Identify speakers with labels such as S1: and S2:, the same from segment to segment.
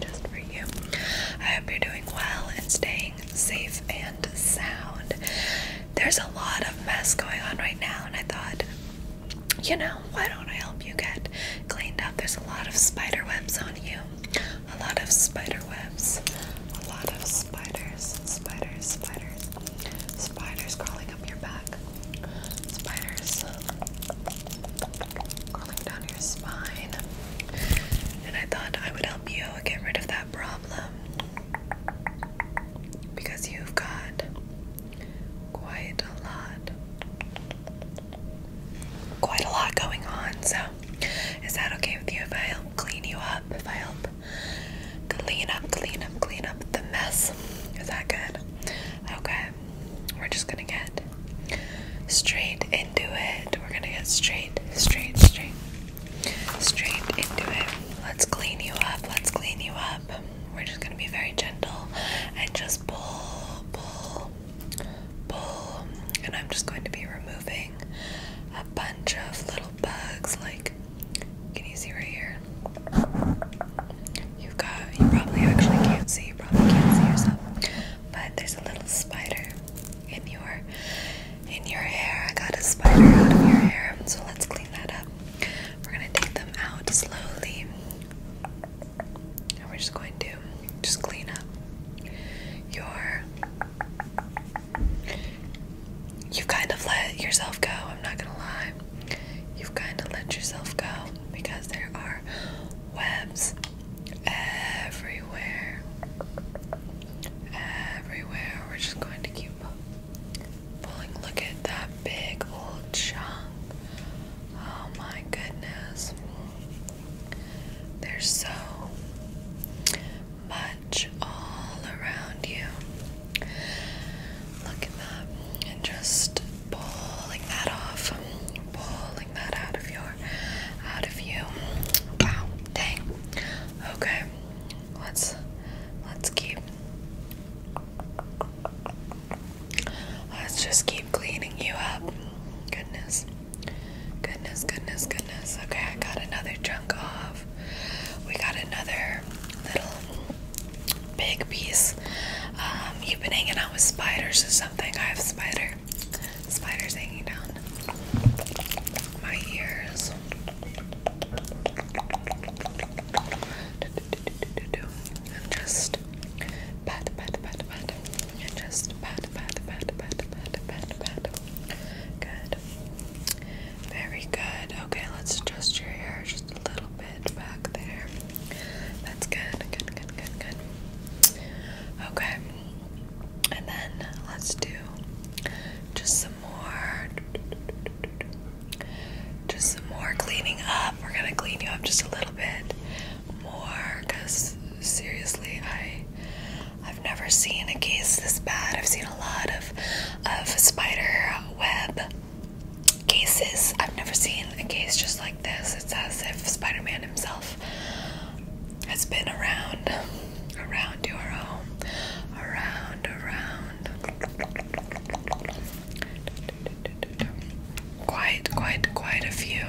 S1: just for you. I hope you're doing well and staying safe and sound. There's a lot of mess going on right now, and I thought, you know, why don't I help you get cleaned up? There's a lot of spider webs on you, a lot of spider webs, a lot of spiders, spiders, spiders, spiders crawling up your back, spiders crawling down your spine. And I thought I would help you get rid of that problem because you've got quite a lot, quite a lot going on. So, is that okay with you if I help clean you up? If I help clean up, clean up, clean up the mess? Is that good? Okay we're just gonna get straight into it. We're gonna get straight, straight, straight, straight into it. Let's clean you up. Let's clean you up. We're just gonna be very gentle and just pull, pull, pull. And I'm just going to be removing a bunch of little bugs. Like, can you see right here? You've got, you probably actually can't see, you probably can't see yourself, but there's a little spider in your, in your hair. I got a spider out of your hair, so let's clean that up. We're gonna take them out slowly, and we're just going to just clean up your. You've kind of let yourself go. I'm not gonna lie. You've kind of let yourself go because there are webs everywhere. Everywhere. We're just going to keep pulling. Look at that big old chunk. Oh my goodness. There's so much all around you. Look at that. And just pulling that off. Pulling that out of your out of you. Wow. Dang. Okay. Let's let's keep Let's just keep cleaning you up. Goodness. Goodness, goodness, goodness. Okay, I got another chunk off. We got another little big piece. Um, you've been hanging out with spiders or something. I have spider, spiders hanging down my ears. And just pat, pat, pat, pat. And just pat, pat, pat, pat, pat, pat, pat. Good. Very good. Okay, let's adjust your hair just a little bit back there. That's good, good, good, good, good. Okay, and then let's do just some more, just some more cleaning up. We're gonna clean you up just a little bit more, cause seriously, I. I've never seen a case this bad. I've seen a lot of of spider web cases. I've never seen a case just like this. It's as if Spider Man himself has been around, around your home, around, around. Quite, quite, quite a few.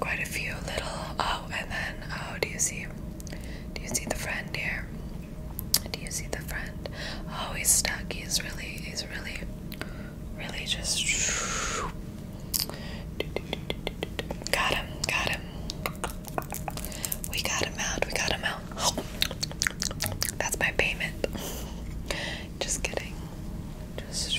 S1: Quite a few little. Oh, and then, oh, do you see? Do you see the friend here? Do you see the friend? Oh, he's stuck. He's really, really, really just. Got him, got him. We got him out, we got him out. That's my payment. Just kidding. Just.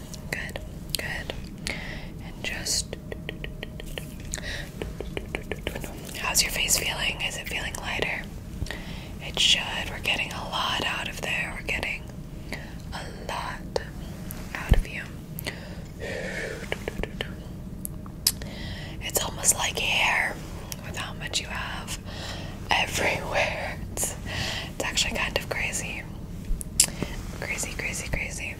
S1: Good, good. And just. How's your face feeling? Is it feeling lighter? It should. We're getting a lot out of there. We're getting a lot out of you. It's almost like hair with how much you have everywhere. It's, it's actually kind of crazy. Crazy, crazy, crazy.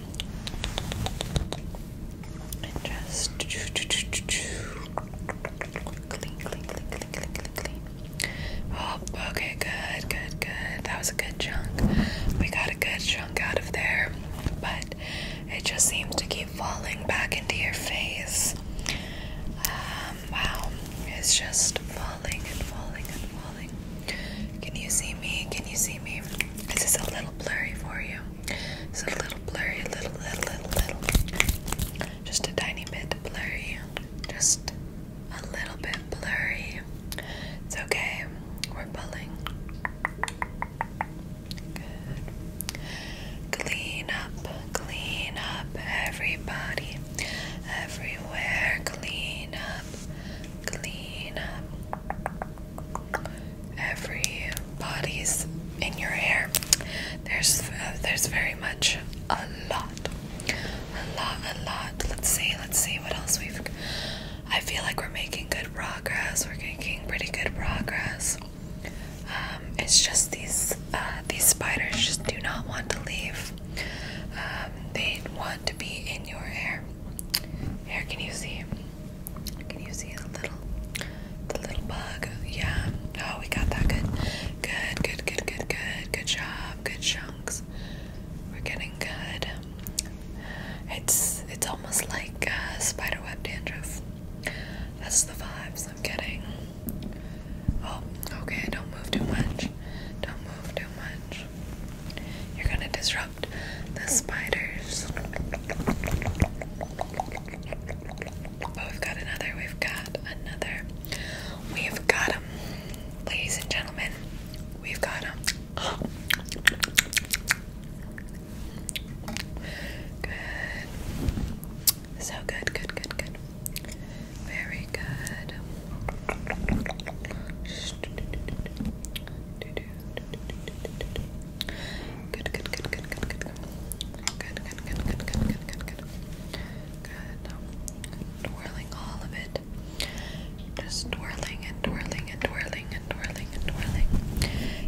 S1: just okay, good, good, good. That was a good chunk. We got a good chunk out of there, but it just seems to keep falling back into your face. Um, wow, it's just falling and falling and falling. Can you see me? Can you see me? This is a little blurry for you. It's a little blurry, little, little, little, little. Just a tiny bit blurry. Just a little bit blurry. It's okay. We're pulling. Good. Clean up. Clean up everybody, everywhere. Clean up, clean up. Everybody's in your hair. There's uh, there's very much a lot, a lot, a lot. Let's see, let's see what else we've. I feel like we're making good progress. We're making pretty good progress. Um, it's just these uh, these spiders just do not want to leave. Um, they want to be in your hair. Here, can you see? Can you see the little, the little bug? Yeah. Oh, we got that. Good. Good. Good. Good. Good. Good. Good job. Good chunks. We're getting good. It's it's almost like uh, spiderweb dandruff. That's the vibes. I'm getting. Oh, okay, don't move too much. Don't move too much. You're gonna disrupt the spiders. Oh, we've got another, we've got another. We've got them. Ladies and gentlemen, we've got them. Good. So good, good, good, good. Very good. Good, good, good, good, good, good. Good, good, good, good, good, good, good, good. Good. Twirling all of it. Just twirling and twirling and twirling and twirling and twirling.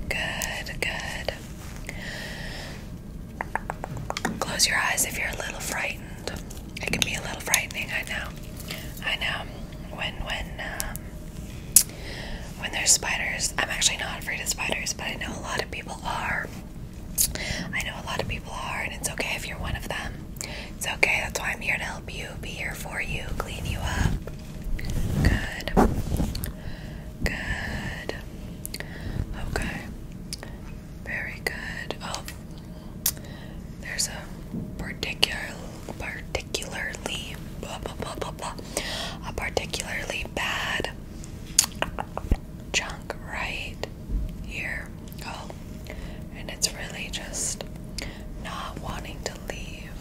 S1: Good, good. Close your eyes if you're a little frightened. It can be a little frightening, I know. I know. When when um, when there's spiders, I'm actually not afraid of spiders, but I know a lot of people are. I know a lot of people are, and it's okay if you're one of them. It's okay. That's why I'm here to help you, be here for you, clean you up. Good. Good. Okay. Very good. Oh, there's a particular, particularly, blah, blah, blah, blah, blah, a particularly bad chunk right here. Oh, and it's really just not wanting to leave.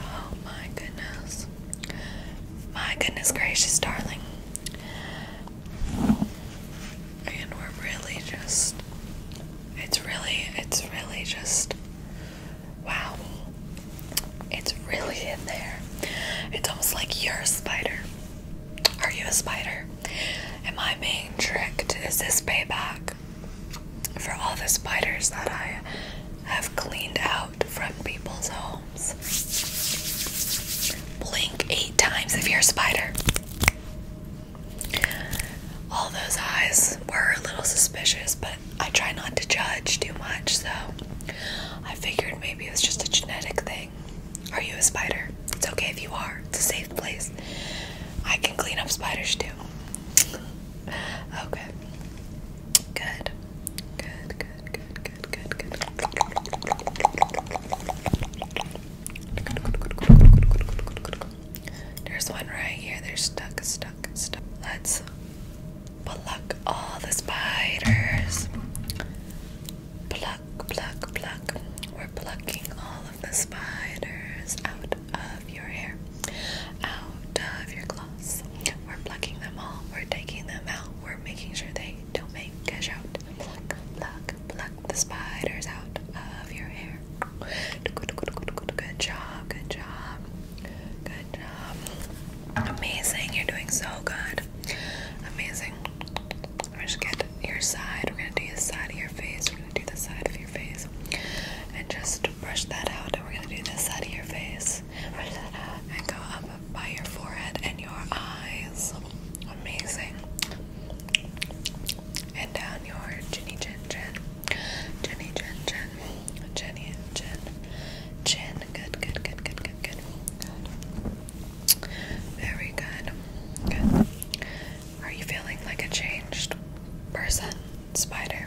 S1: Oh my goodness. My goodness gracious, darling. And we're really just it's really it's really just wow. It's really in there. It's almost like you're a spider. Are you a spider? Am I being tricked? Is this payback for all the spiders that I have cleaned out from people's homes? Blink eight times if you're a spider. All those eyes were a little suspicious, but I try not to judge too much, so I figured maybe it was just a genetic thing. Are you a spider? It's okay if you are, it's a safe place. I can clean up spiders too. Okay. Good. Good, good, good, there's one right here. They're stuck, stuck, stuck. Let's pluck all the spiders. Pluck, pluck, pluck. We're plucking all of the spiders out of your hair, out of your clothes. We're plucking them all. We're taking them out we're making sure they don't make a shout. Pluck, pluck, pluck the spiders out of your hair. Good, good, good, good, good job, good job, good job. Amazing, you're doing so good. Amazing. We're just get your side. We're gonna do the side of your face. We're gonna do the side of your face, and just brush that out. And we're gonna do this side of your face. Brush that out and go up by your forehead and your eyes. Amazing. And down your chinny chin chin. Jenny chin chin. Jenny chin. Chin. Good, good, good, good, good, good. Good. Very good. Good. Are you feeling like a changed person, spider?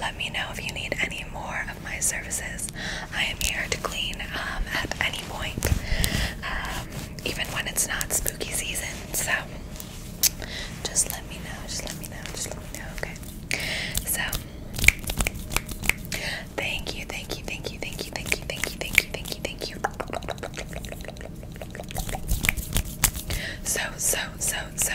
S1: let me know if you need any more of my services. I am here to clean um, at any point, um, even when it's not spooky season. So just let me know, just let me know, just let me know, okay? So thank you, thank you, thank you, thank you, thank you, thank you, thank you, thank you, thank you. So, so, so, so,